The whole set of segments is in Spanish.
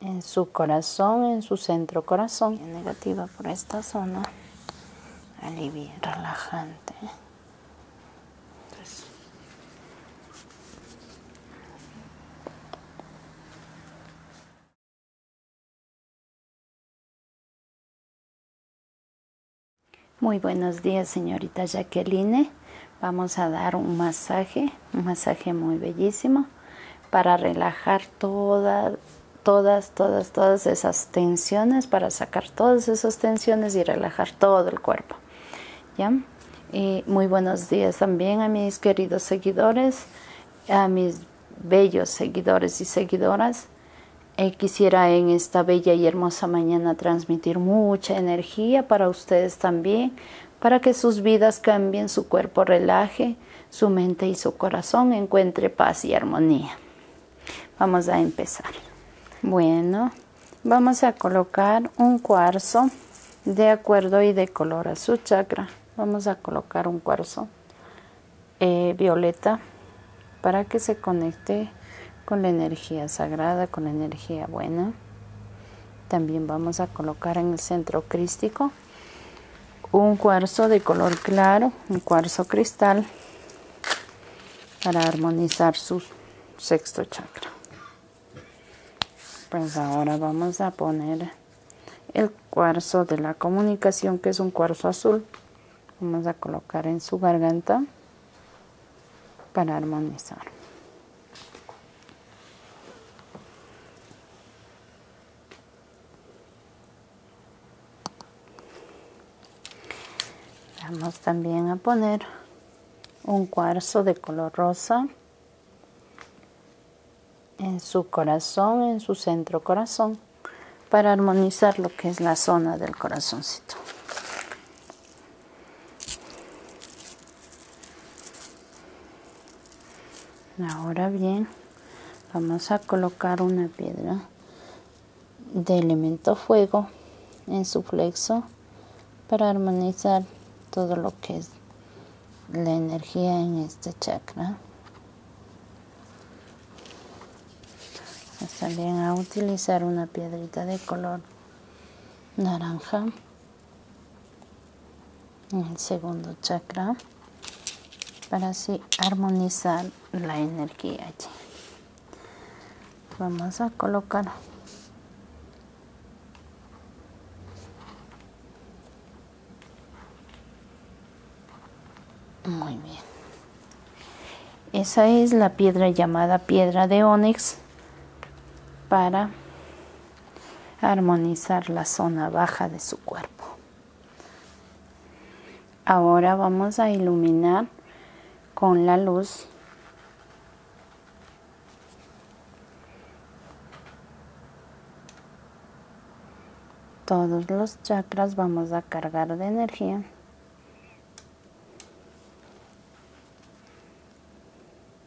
en su corazón, en su centro corazón, negativa por esta zona, alivia, relajante. Muy buenos días, señorita Jacqueline. Vamos a dar un masaje, un masaje muy bellísimo para relajar todas, todas, todas, todas esas tensiones, para sacar todas esas tensiones y relajar todo el cuerpo. ¿Ya? Y muy buenos días también a mis queridos seguidores, a mis bellos seguidores y seguidoras. Eh, quisiera en esta bella y hermosa mañana transmitir mucha energía para ustedes también, para que sus vidas cambien, su cuerpo relaje, su mente y su corazón encuentre paz y armonía. Vamos a empezar. Bueno, vamos a colocar un cuarzo de acuerdo y de color a su chakra. Vamos a colocar un cuarzo eh, violeta para que se conecte con la energía sagrada, con la energía buena. También vamos a colocar en el centro crístico un cuarzo de color claro, un cuarzo cristal para armonizar su sexto chakra. Pues ahora vamos a poner el cuarzo de la comunicación que es un cuarzo azul. Vamos a colocar en su garganta para armonizar. Vamos también a poner un cuarzo de color rosa en su corazón, en su centro corazón, para armonizar lo que es la zona del corazoncito ahora bien vamos a colocar una piedra de elemento fuego en su flexo para armonizar todo lo que es la energía en este chakra también a utilizar una piedrita de color naranja en el segundo chakra para así armonizar la energía vamos a colocar muy bien esa es la piedra llamada piedra de ónix para armonizar la zona baja de su cuerpo. Ahora vamos a iluminar con la luz todos los chakras vamos a cargar de energía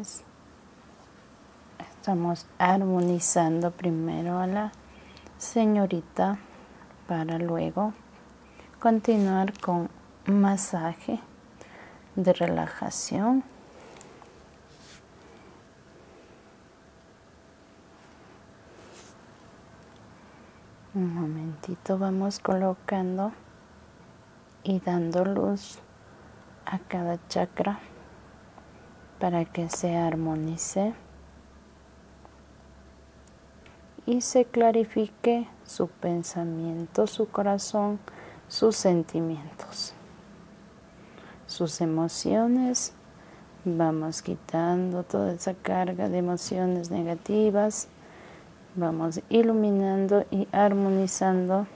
es estamos armonizando primero a la señorita para luego continuar con masaje de relajación. Un momentito vamos colocando y dando luz a cada chakra para que se armonice y se clarifique su pensamiento, su corazón, sus sentimientos, sus emociones. Vamos quitando toda esa carga de emociones negativas vamos iluminando y armonizando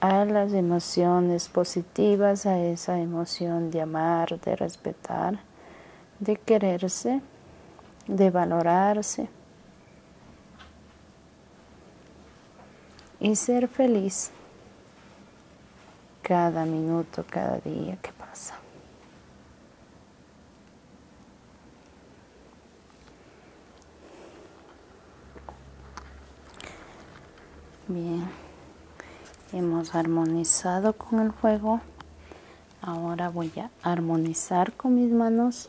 a las emociones positivas, a esa emoción de amar, de respetar, de quererse, de valorarse y ser feliz cada minuto, cada día que pasa bien hemos armonizado con el fuego ahora voy a armonizar con mis manos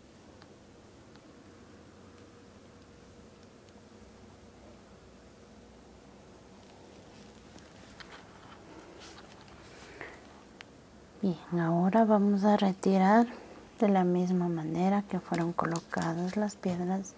Bien, ahora vamos a retirar de la misma manera que fueron colocadas las piedras.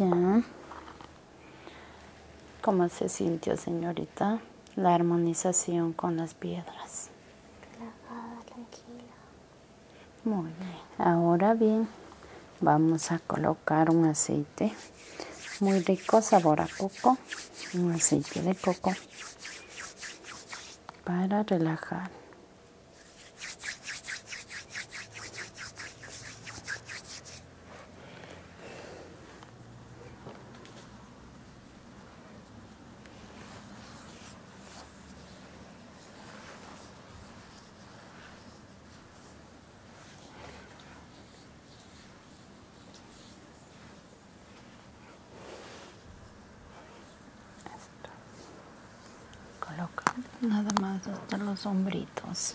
Ya. ¿Cómo se sintió, señorita? La armonización con las piedras relajada, tranquila. Muy bien, ahora bien vamos a colocar un aceite muy rico, sabor a coco, un aceite de coco para relajar coloca nada más hasta los hombritos.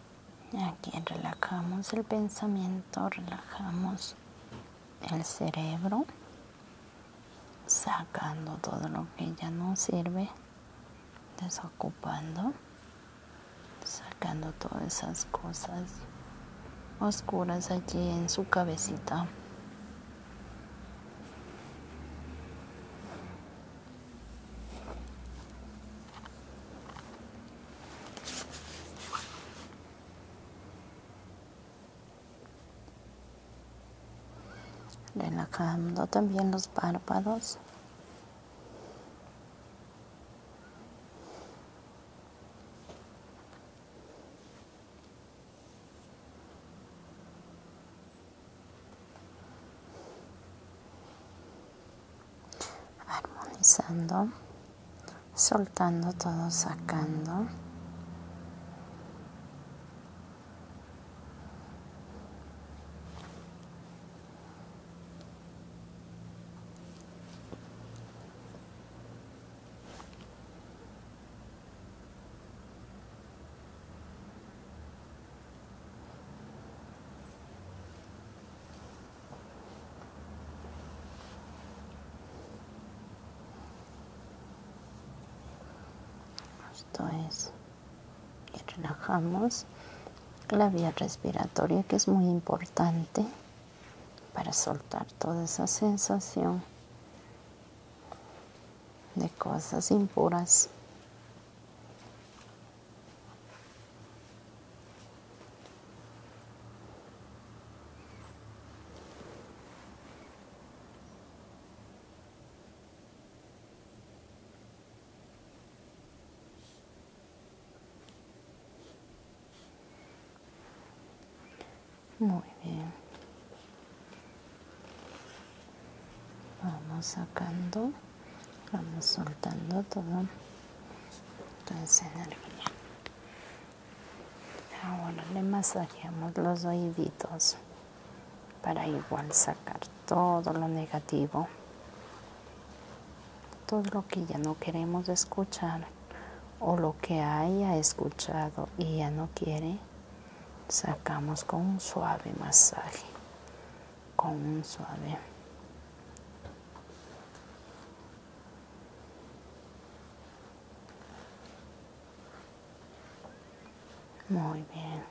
Aquí relajamos el pensamiento, relajamos el cerebro, sacando todo lo que ya no sirve, desocupando, sacando todas esas cosas oscuras allí en su cabecita relajando también los párpados armonizando, soltando todo, sacando. Esto es. Y relajamos la vía respiratoria que es muy importante para soltar toda esa sensación de cosas impuras. Muy bien. Vamos sacando, vamos soltando todo. Entonces, Ahora le masajeamos los oíditos para igual sacar todo lo negativo, todo lo que ya no queremos escuchar o lo que haya escuchado y ya no quiere, sacamos con un suave masaje, con un suave muy bien.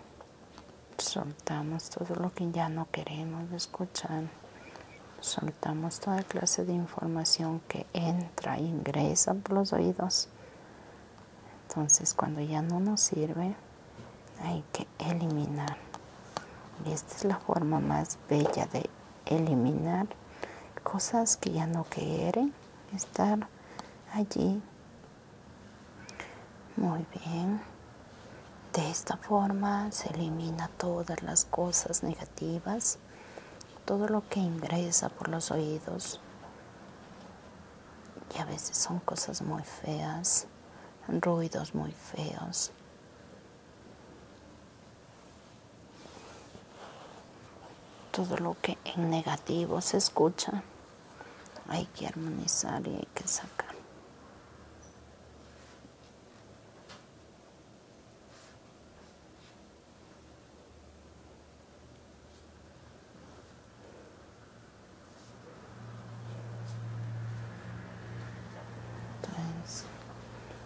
Soltamos todo lo que ya no queremos escuchar. Soltamos toda clase de información que entra, e ingresa por los oídos. Entonces cuando ya no nos sirve, hay que eliminar. Y esta es la forma más bella de eliminar cosas que ya no quieren estar allí. Muy bien. De esta forma se elimina todas las cosas negativas, todo lo que ingresa por los oídos. Y a veces son cosas muy feas, ruidos muy feos. Todo lo que en negativo se escucha, hay que armonizar y hay que sacar.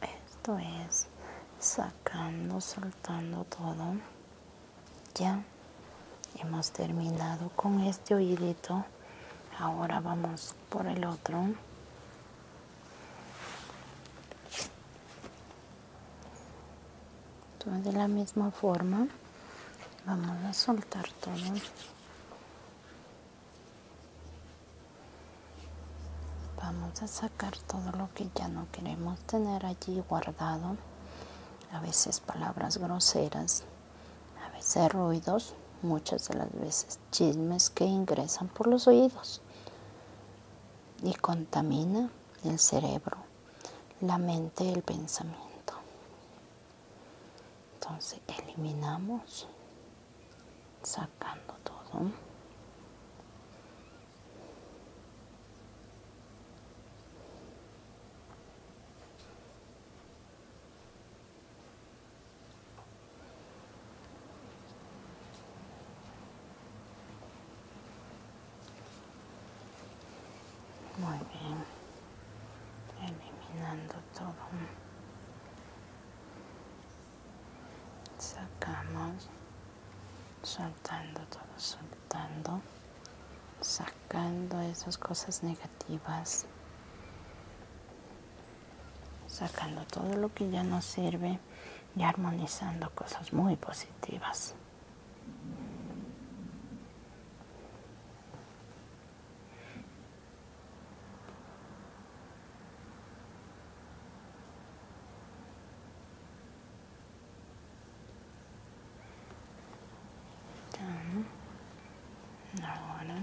Esto es sacando, soltando todo. Ya hemos terminado con este oídito. Ahora vamos por el otro de la misma forma vamos a soltar todo. Vamos a sacar todo lo que ya no queremos tener allí guardado. A veces palabras groseras, a veces ruidos, muchas de las veces chismes que ingresan por los oídos y contamina el cerebro la mente el pensamiento. Entonces eliminamos sacando todo. Muy bien. Eliminando todo. Sacamos. Soltando todo, soltando. Sacando esas cosas negativas. Sacando todo lo que ya no sirve y armonizando cosas muy positivas. Ahora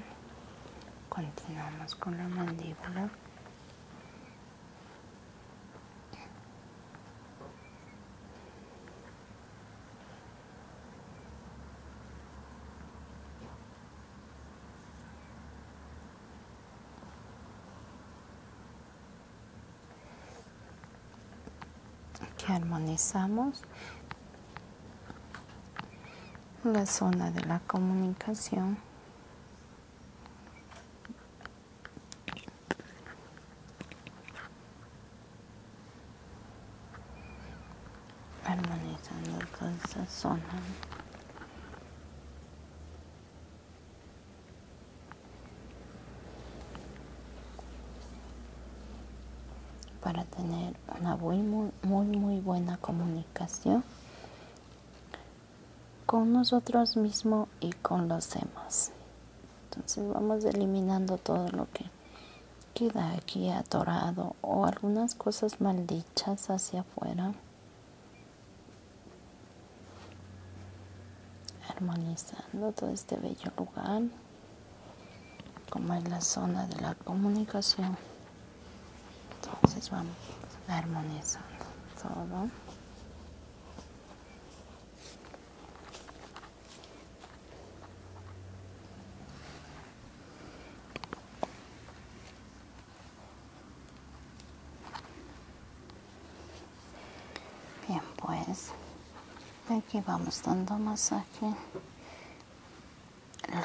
continuamos con la mandíbula. Que armonizamos la zona de la comunicación armonizando con esa zona para tener una muy muy muy buena comunicación con nosotros mismos y con los demás entonces vamos eliminando todo lo que queda aquí atorado o algunas cosas maldichas hacia afuera. Armonizando todo este bello lugar, como es la zona de la comunicación. Entonces vamos armonizando todo. Bien, pues aquí vamos dando masaje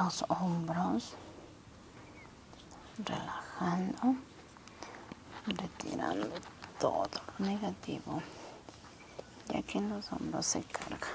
los hombros, relajando, retirando todo lo negativo ya que en los hombros se carga.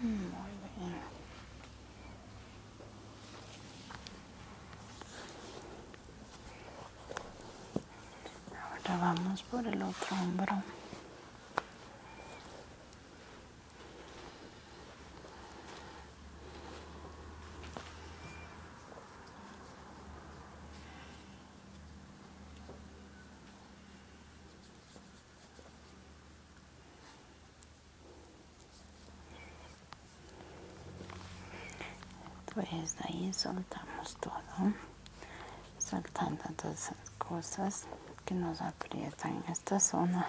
Muy bien. Ahora vamos por el otro hombro. Pues ahí soltamos todo, soltando todas esas cosas que nos aprietan en esta zona.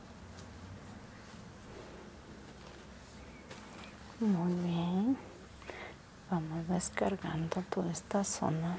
Muy bien. Vamos descargando toda esta zona.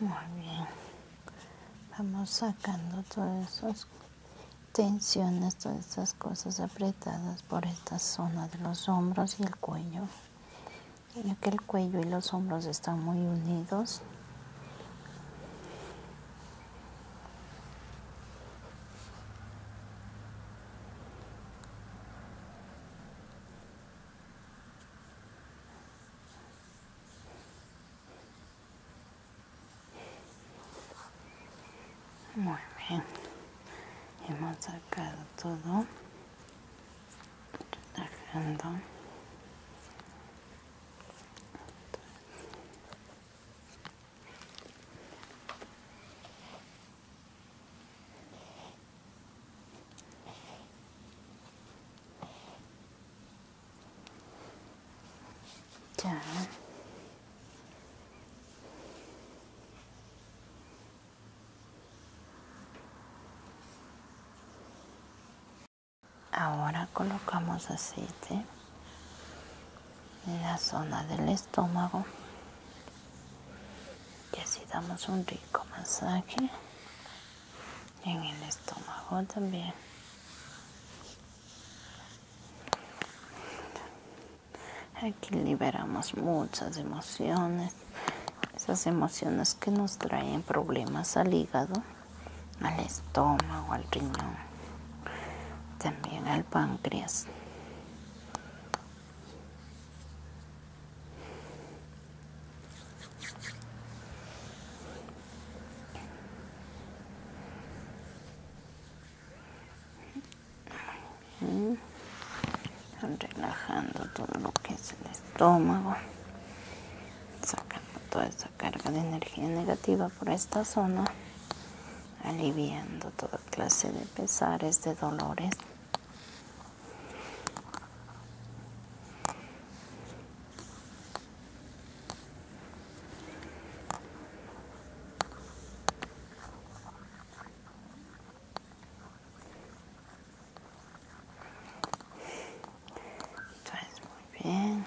Muy bien. Vamos sacando todas esas tensiones, todas esas cosas apretadas por esta zona de los hombros y el cuello. Ya que el cuello y los hombros están muy unidos. Muy bien. Hemos sacado todo. Relajando. Ahora colocamos aceite en la zona del estómago y así damos un rico masaje en el estómago también. Aquí liberamos muchas emociones, esas emociones que nos traen problemas al hígado, al estómago, al riñón, también al páncreas relajando todo lo que es el estómago, sacando toda esa carga de energía negativa por esta zona, aliviando toda clase de pesares, de dolores. Entonces, muy bien.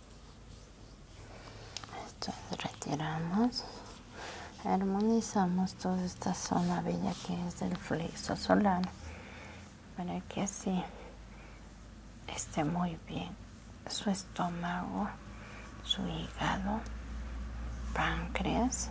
esto retiramos armonizamos toda esta zona bella que es del flexo solar para que así esté muy bien su estómago su hígado páncreas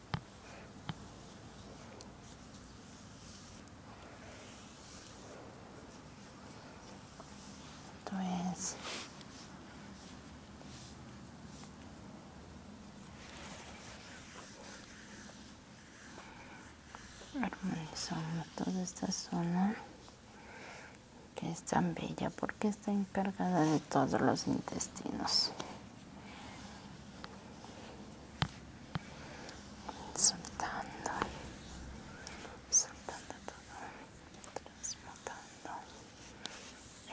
armonizamos toda esta zona que es tan bella porque está encargada de todos los intestinos soltando, soltando todo, transmutando,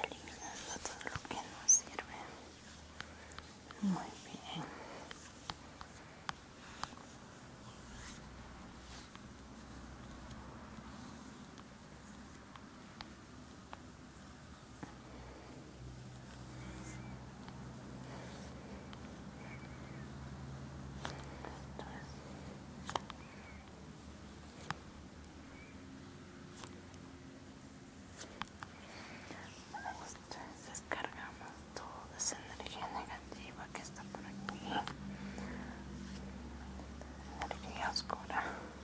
eliminando todo lo que no sirve. Muy bien descargamos toda esa energía negativa que está por aquí, energía oscura.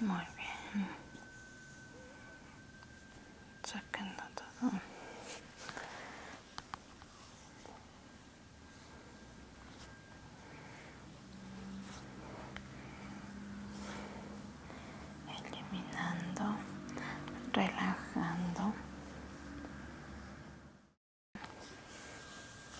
Muy bien. Sacando todo. Eliminando, relajando.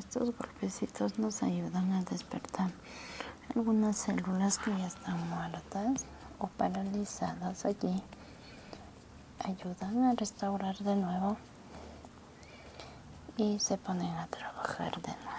estos golpecitos nos ayudan a despertar algunas células que ya están muertas o paralizadas allí. Ayudan a restaurar de nuevo y se ponen a trabajar de nuevo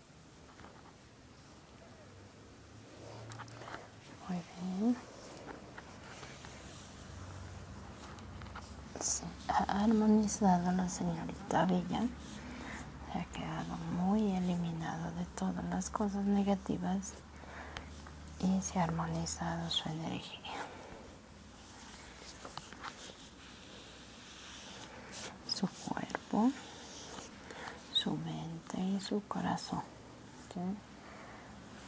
Muy bien. se ha armonizado la señorita villa Se ha quedado muy eliminado de todas las cosas negativas y se ha armonizado su energía su cuerpo, su mente y su corazón.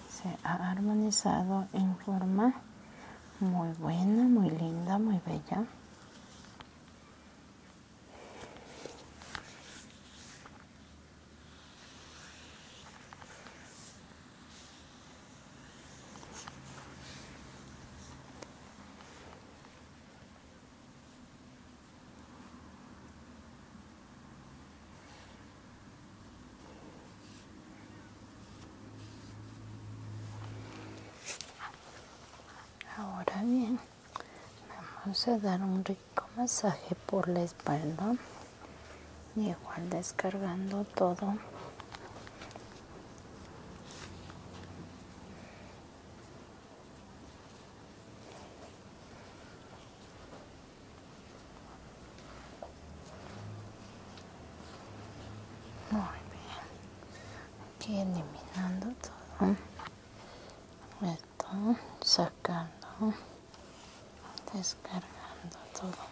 Se ha armonizado en forma muy buena, muy linda, muy bella. Ahora bien, vamos a dar un rico masaje por la espalda, y igual descargando todo muy bien. Aquí eliminando todo. Esto, sacando, descargando todo.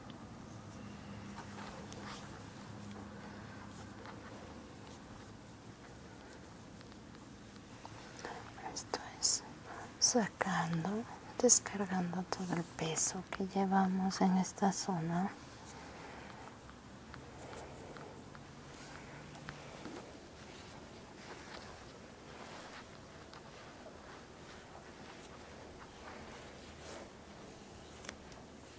Esto es sacando, descargando todo el peso que llevamos en esta zona.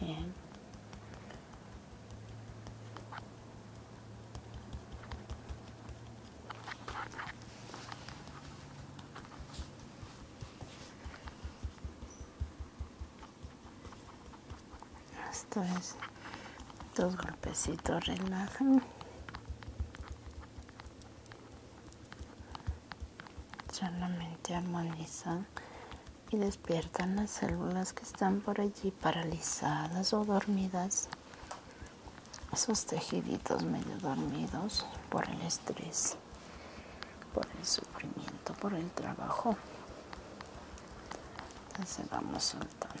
Bien. Esto es dos golpecitos relajan solamente armonizan y despiertan las células que están por allí paralizadas o dormidas, esos tejiditos medio dormidos por el estrés, por el sufrimiento, por el trabajo. Entonces vamos soltando.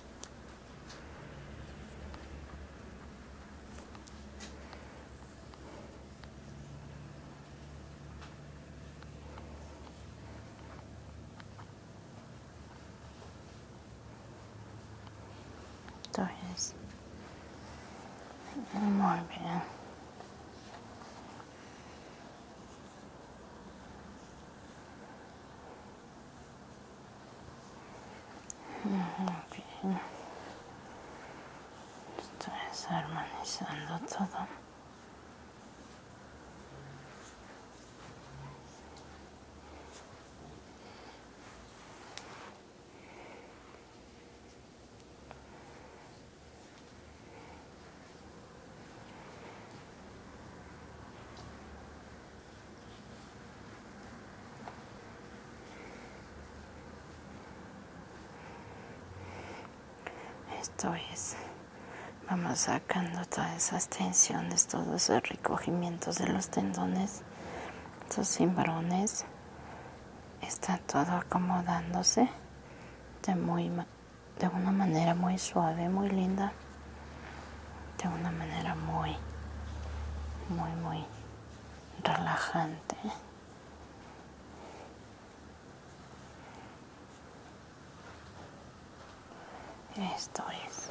There it is. more bit. Estoy desarmonizando todo. Esto es, vamos sacando todas esas tensiones, todos esos recogimientos de los tendones, esos cimbrones, está todo acomodándose de muy de una manera muy suave, muy linda, de una manera muy, muy, muy relajante. Esto es.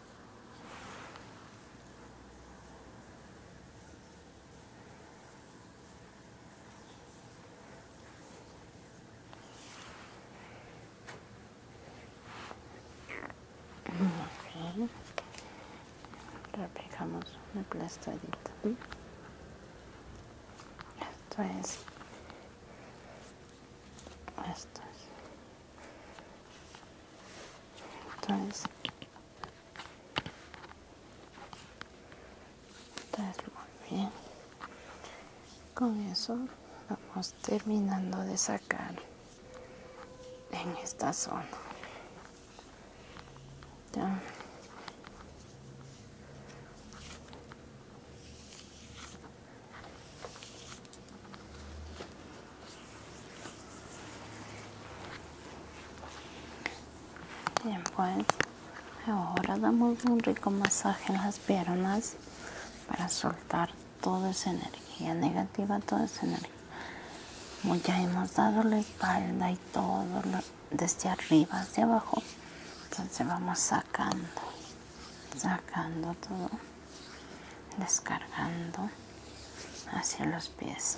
Okay. Replicamos una plastadita. Esto es. Esto es entonces está muy bien con eso vamos terminando de sacar en esta zona ya. Bien, pues ahora damos un rico masaje en las piernas para soltar toda esa energía negativa, toda esa energía. ya hemos dado la espalda y todo desde arriba hacia abajo, entonces vamos sacando, sacando todo descargando hacia los pies.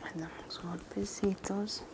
mandamos golpecitos.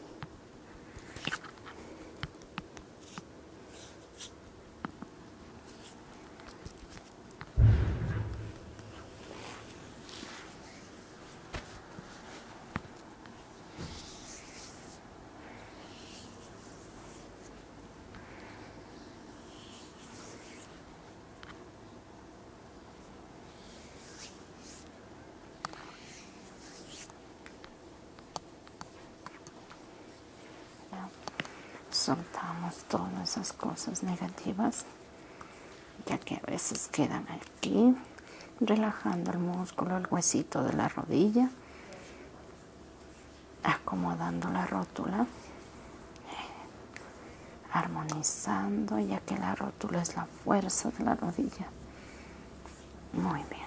Soltamos todas esas cosas negativas, ya que a veces quedan aquí, relajando el músculo, el huesito de la rodilla acomodando la rótula, armonizando, ya que la rótula es la fuerza de la rodilla. Muy bien.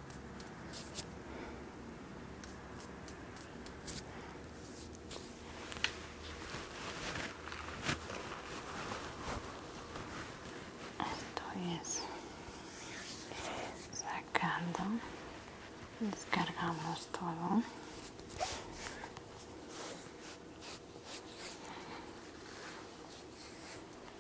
estoy es sacando, descargamos todo.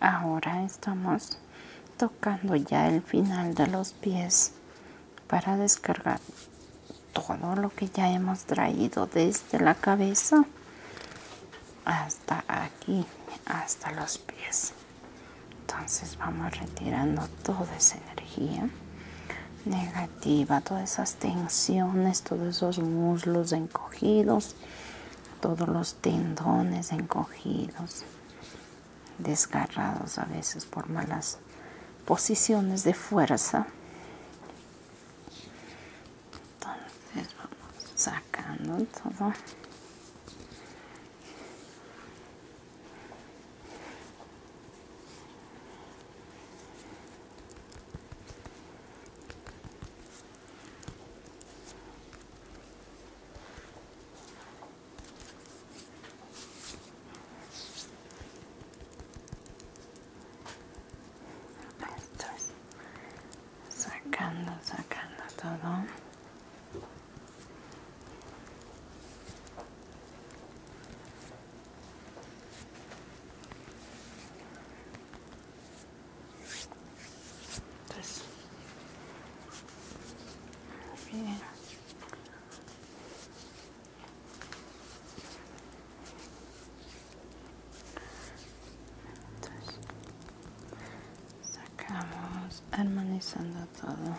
Ahora estamos tocando ya el final de los pies para descargar todo lo que ya hemos traído desde la cabeza hasta aquí, hasta los pies. Entonces vamos retirando toda esa energía negativa, todas esas tensiones, todos esos muslos encogidos, todos los tendones encogidos, desgarrados a veces por malas posiciones de fuerza. Entonces sacando todo sacando, sacando todo. Entonces, bien. Entonces, sacamos armonizando todo.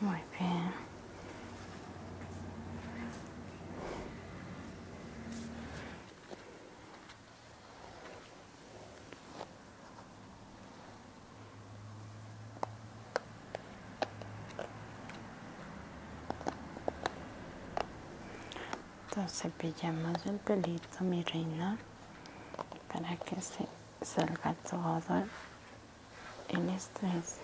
Muy bien. Entonces pillamos el pelito, mi reina, para que se salga todo el estrés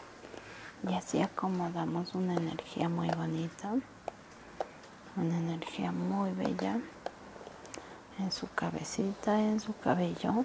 y así acomodamos una energía muy bonita, una energía muy bella en su cabecita, en su cabello.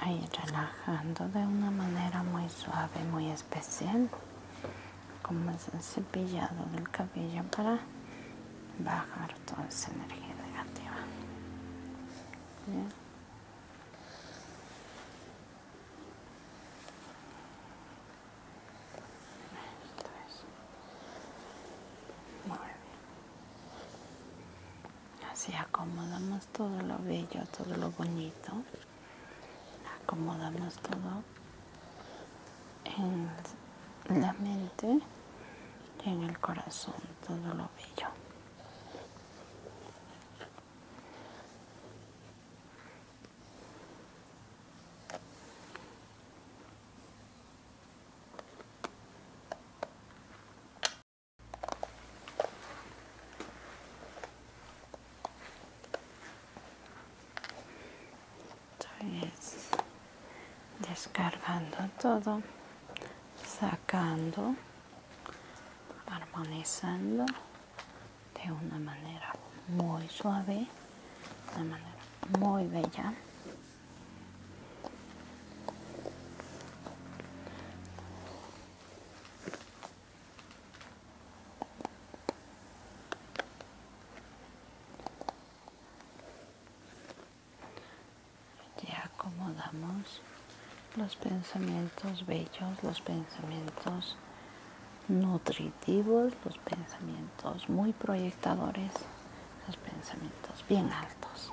Ahí relajando de una manera muy suave, muy especial como es el cepillado del cabello para bajar toda esa energía negativa muy bien. así acomodamos todo lo bello todo lo bonito acomodamos todo en la mente y en el corazón, todo lo bello descargando todo, sacando, armonizando de una manera muy suave, de una manera muy bella. Ya acomodamos los pensamientos bellos, los pensamientos nutritivos, los pensamientos muy proyectadores, los pensamientos bien altos.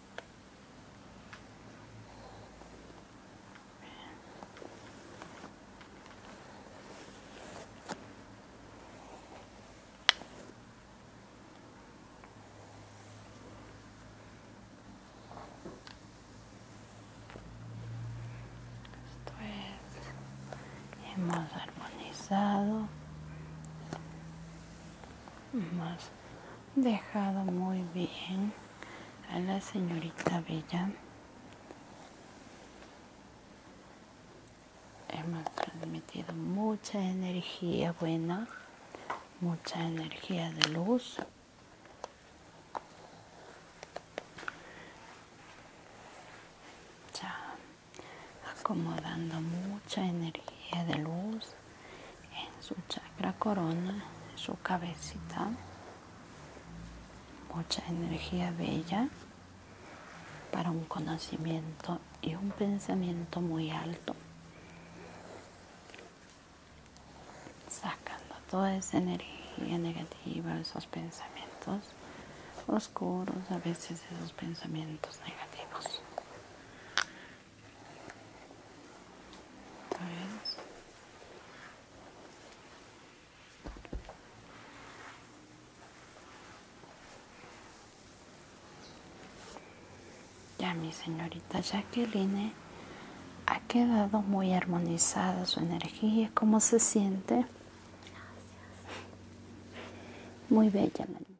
Esto es, hemos armonizado más dejado muy bien a la señorita Bella. Hemos transmitido mucha energía buena, mucha energía de luz. chao acomodando mucha energía de luz en su chakra corona, en su cabecita, mucha energía bella para un conocimiento y un pensamiento muy alto, sacando toda esa energía negativa, esos pensamientos oscuros, a veces esos pensamientos negativos ya mi señorita Jacqueline ha quedado muy armonizada su energía. ¿Cómo se siente? Gracias. Muy bella